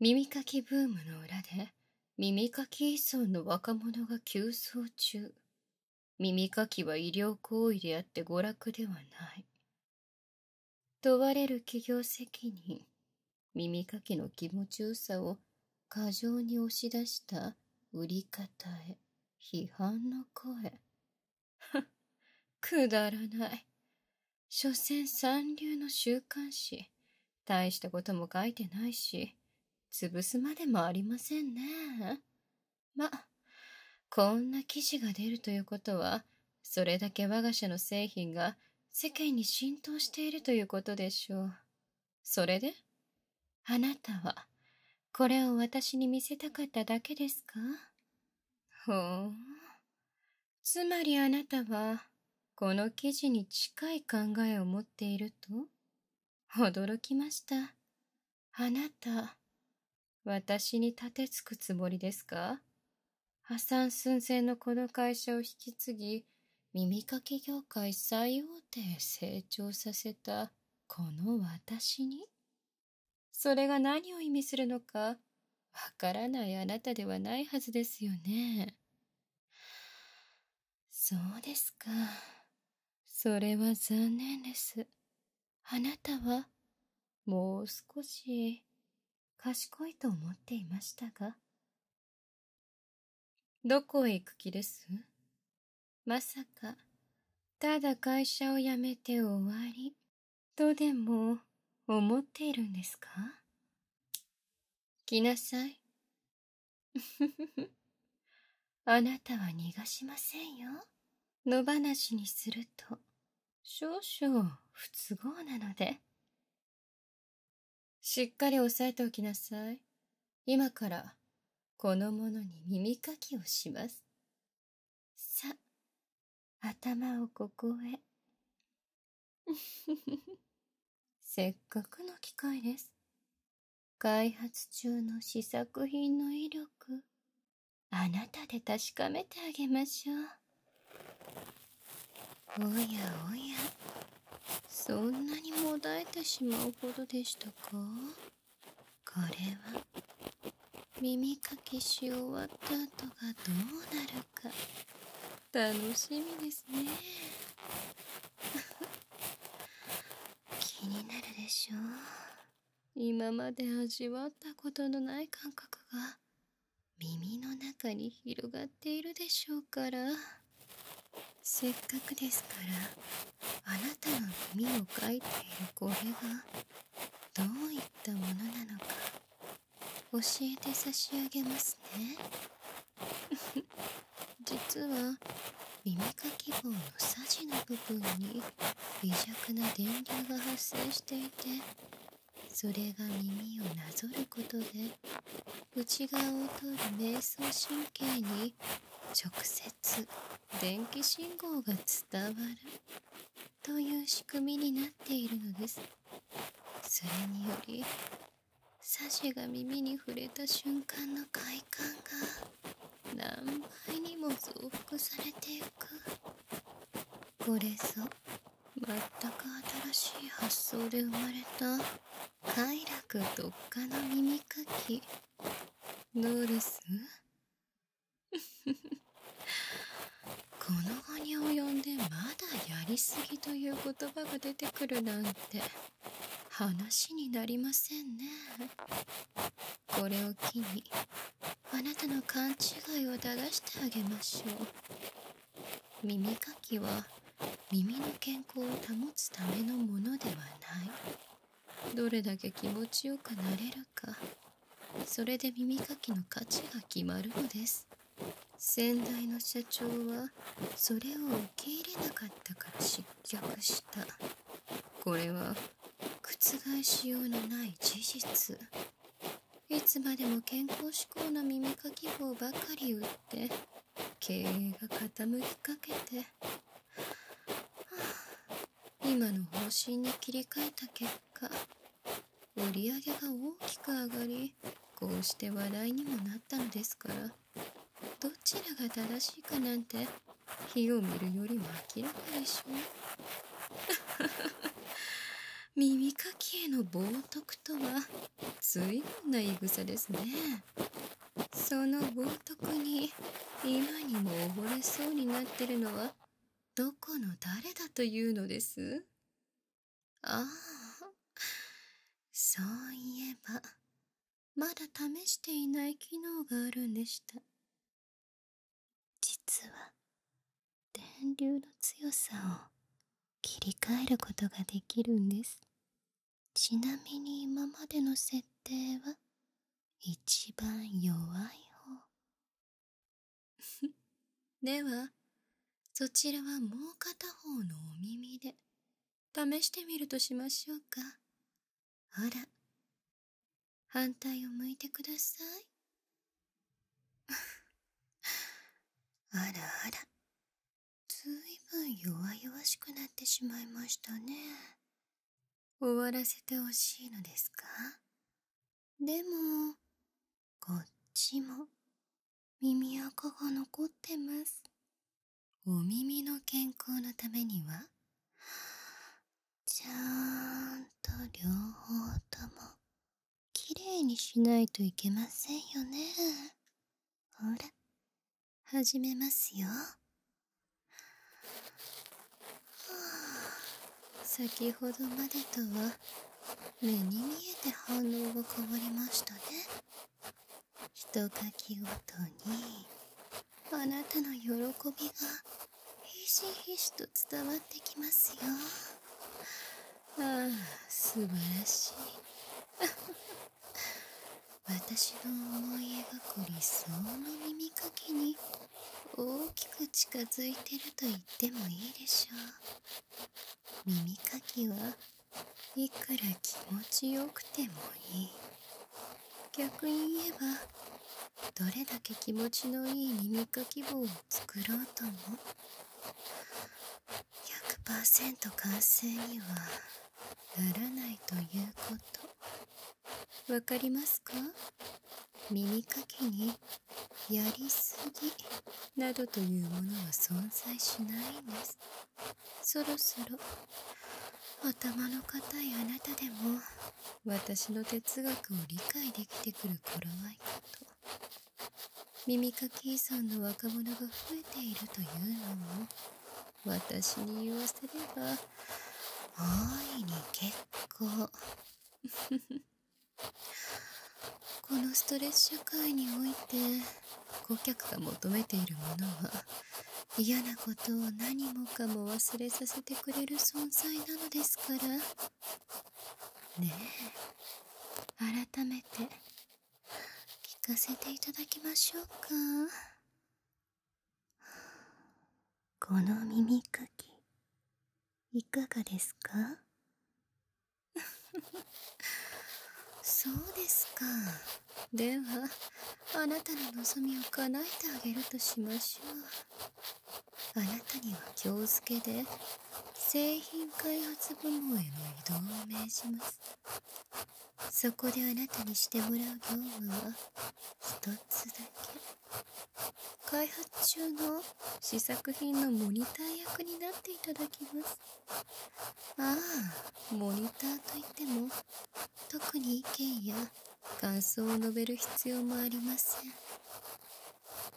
耳かきブームの裏で耳かき依存の若者が急増中耳かきは医療行為であって娯楽ではない問われる企業責任耳かきの気持ちよさを過剰に押し出した売り方へ批判の声くだらない所詮三流の週刊誌大したことも書いてないし潰すまでもありませんねまこんな記事が出るということはそれだけ我が社の製品が世間に浸透しているということでしょうそれであなたはこれを私に見せたかっただけですかほうつまりあなたは、この記事に近い考えを持っていると驚きました。あなた、私に立てつくつもりですか破産寸前のこの会社を引き継ぎ、耳かき業界最大手へ成長させたこの私にそれが何を意味するのかわからないあなたではないはずですよね。そうですか。それは残念です。あなたは、もう少し、賢いと思っていましたが。どこへ行く気ですまさか、ただ会社を辞めて終わりとでも思っているんですか来なさい あなたは逃がしませんよ野放しにすると少々不都合なのでしっかり押さえておきなさい今からこのものに耳かきをしますさ頭をここへせっかくの機会です開発中の試作品の威力あなたで確かめてあげましょうおやおやそんなにもだえてしまうほどでしたかこれは耳かきし終わった後がどうなるか楽しみですね 気になるでしょう今まで味わったことのない感覚が耳の中に広がっているでしょうからせっかくですからあなたの耳を描いているこれがどういったものなのか教えて差し上げますね 実は耳かき棒のさじの部分に微弱な電流が発生していてそれが耳をなぞることで内側を通る瞑想神経に直接電気信号が伝わるという仕組みになっているのですそれによりサシが耳に触れた瞬間の快感が何倍にも増幅されてゆくこれぞまったく新しい発想で生まれた快楽特化の耳かきノーリス この後に及んでまだやりすぎという言葉が出てくるなんて話になりませんねこれを機にあなたの勘違いを正してあげましょう耳かきは耳の健康を保つためのものではないどれだけ気持ちよくなれるかそれで耳かきの価値が決まるのです先代の社長はそれを受け入れなかったから失脚したこれは覆しようのない事実いつまでも健康志向の耳かき棒ばかり売って経営が傾きかけて、今の方針に切り替えた結果売り上げが大きく上がりこうして話題にもなったのですからどちらが正しいかなんて火を見るよりも明らかでしょう 耳かきへの冒涜とは随分な言い草ですねその冒涜に今にも溺れそうになってるのはどこの誰だというのですああそういえばまだ試していない機能があるんでした実は電流の強さを切り替えることができるんですちなみに今までの設定は一番弱い方 ではそちらはもう片方のお耳で試してみるとしましょうかほら反対を向いてください あらあらずいぶん弱々しくなってしまいましたね終わらせてほしいのですかでもこっちも耳垢が残ってますお耳の健康のためにはちゃんと両方ともきれいにしないといけませんよねほら始めますよ先ほどまでとは目に見えて反応が変わりましたねひとかき音にあなたの喜びがひしひしと伝わってきますよああ素晴らしい 私の思い描く理想の耳かきに大きく近づいてると言ってもいいでしょう耳かきはいくら気持ちよくてもいい逆に言えばどれだけ気持ちのいい耳かき棒を作ろうとも100%完成にはならないということわかりますか耳かきにやりすぎなどというものは存在しないんですそろそろ頭の固いあなたでも私の哲学を理解できてくる頃合いかと耳かき依存の若者が増えているというのも私に言わせれば大いに結構 このストレス社会において顧客が求めているものは嫌なことを何もかも忘れさせてくれる存在なのですからねえ改めて聞かせていただきましょうか この耳かきいかがですか そうですかではあなたの望みを叶えてあげるとしましょうあなたには今日付で製品開発部門への移動を命じますそこであなたにしてもらう業務は1つだけ開発中の試作品のモニター役になっていただきますああモニターといっても特に意見や感想を述べる必要もありませ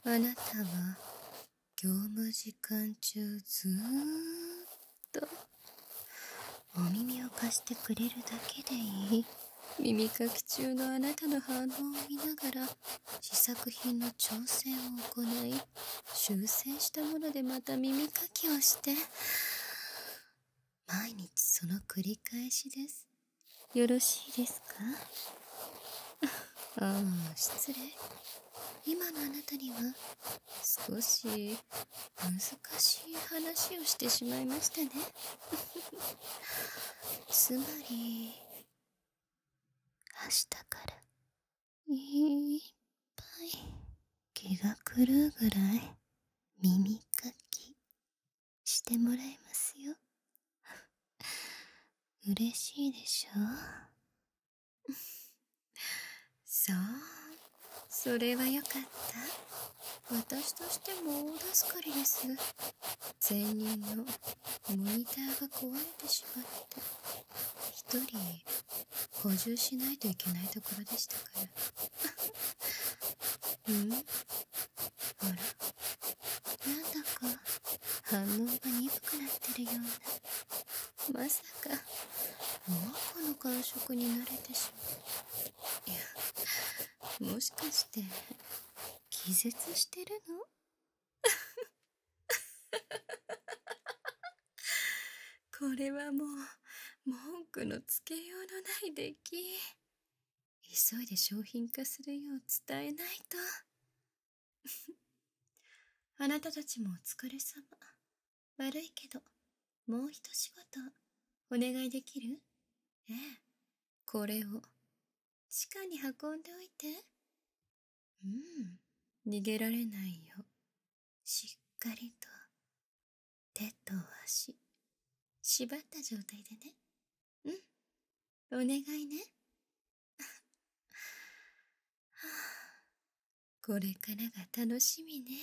んあなたは業務時間中ずっとお耳を貸してくれるだけでいい耳かき中のあなたの反応を見ながら試作品の調整を行い修正したものでまた耳かきをして毎日その繰り返しですよろしいですか ああ失礼今のあなたには少し難しい話をしてしまいましたね つまり明日からいっぱい気が狂うぐらい耳かきしてもらいますよ 嬉しいでしょう そうそれはよかった私としても大助かりです前任のモニターが壊れてしまって一人補充しないといけないところでしたから うんあらなんだか反応が鈍くなってるようなまさか猛うの感触に慣れてしまういやもしかして気絶してるの これはもう文句のつけようのない出来急いで商品化するよう伝えないと あなたたちもお疲れ様悪いけどもう一仕事お願いできるええこれを地下に運んでおいてうん逃げられないよしっかりと手と足縛った状態でねうんお願いね これからが楽しみね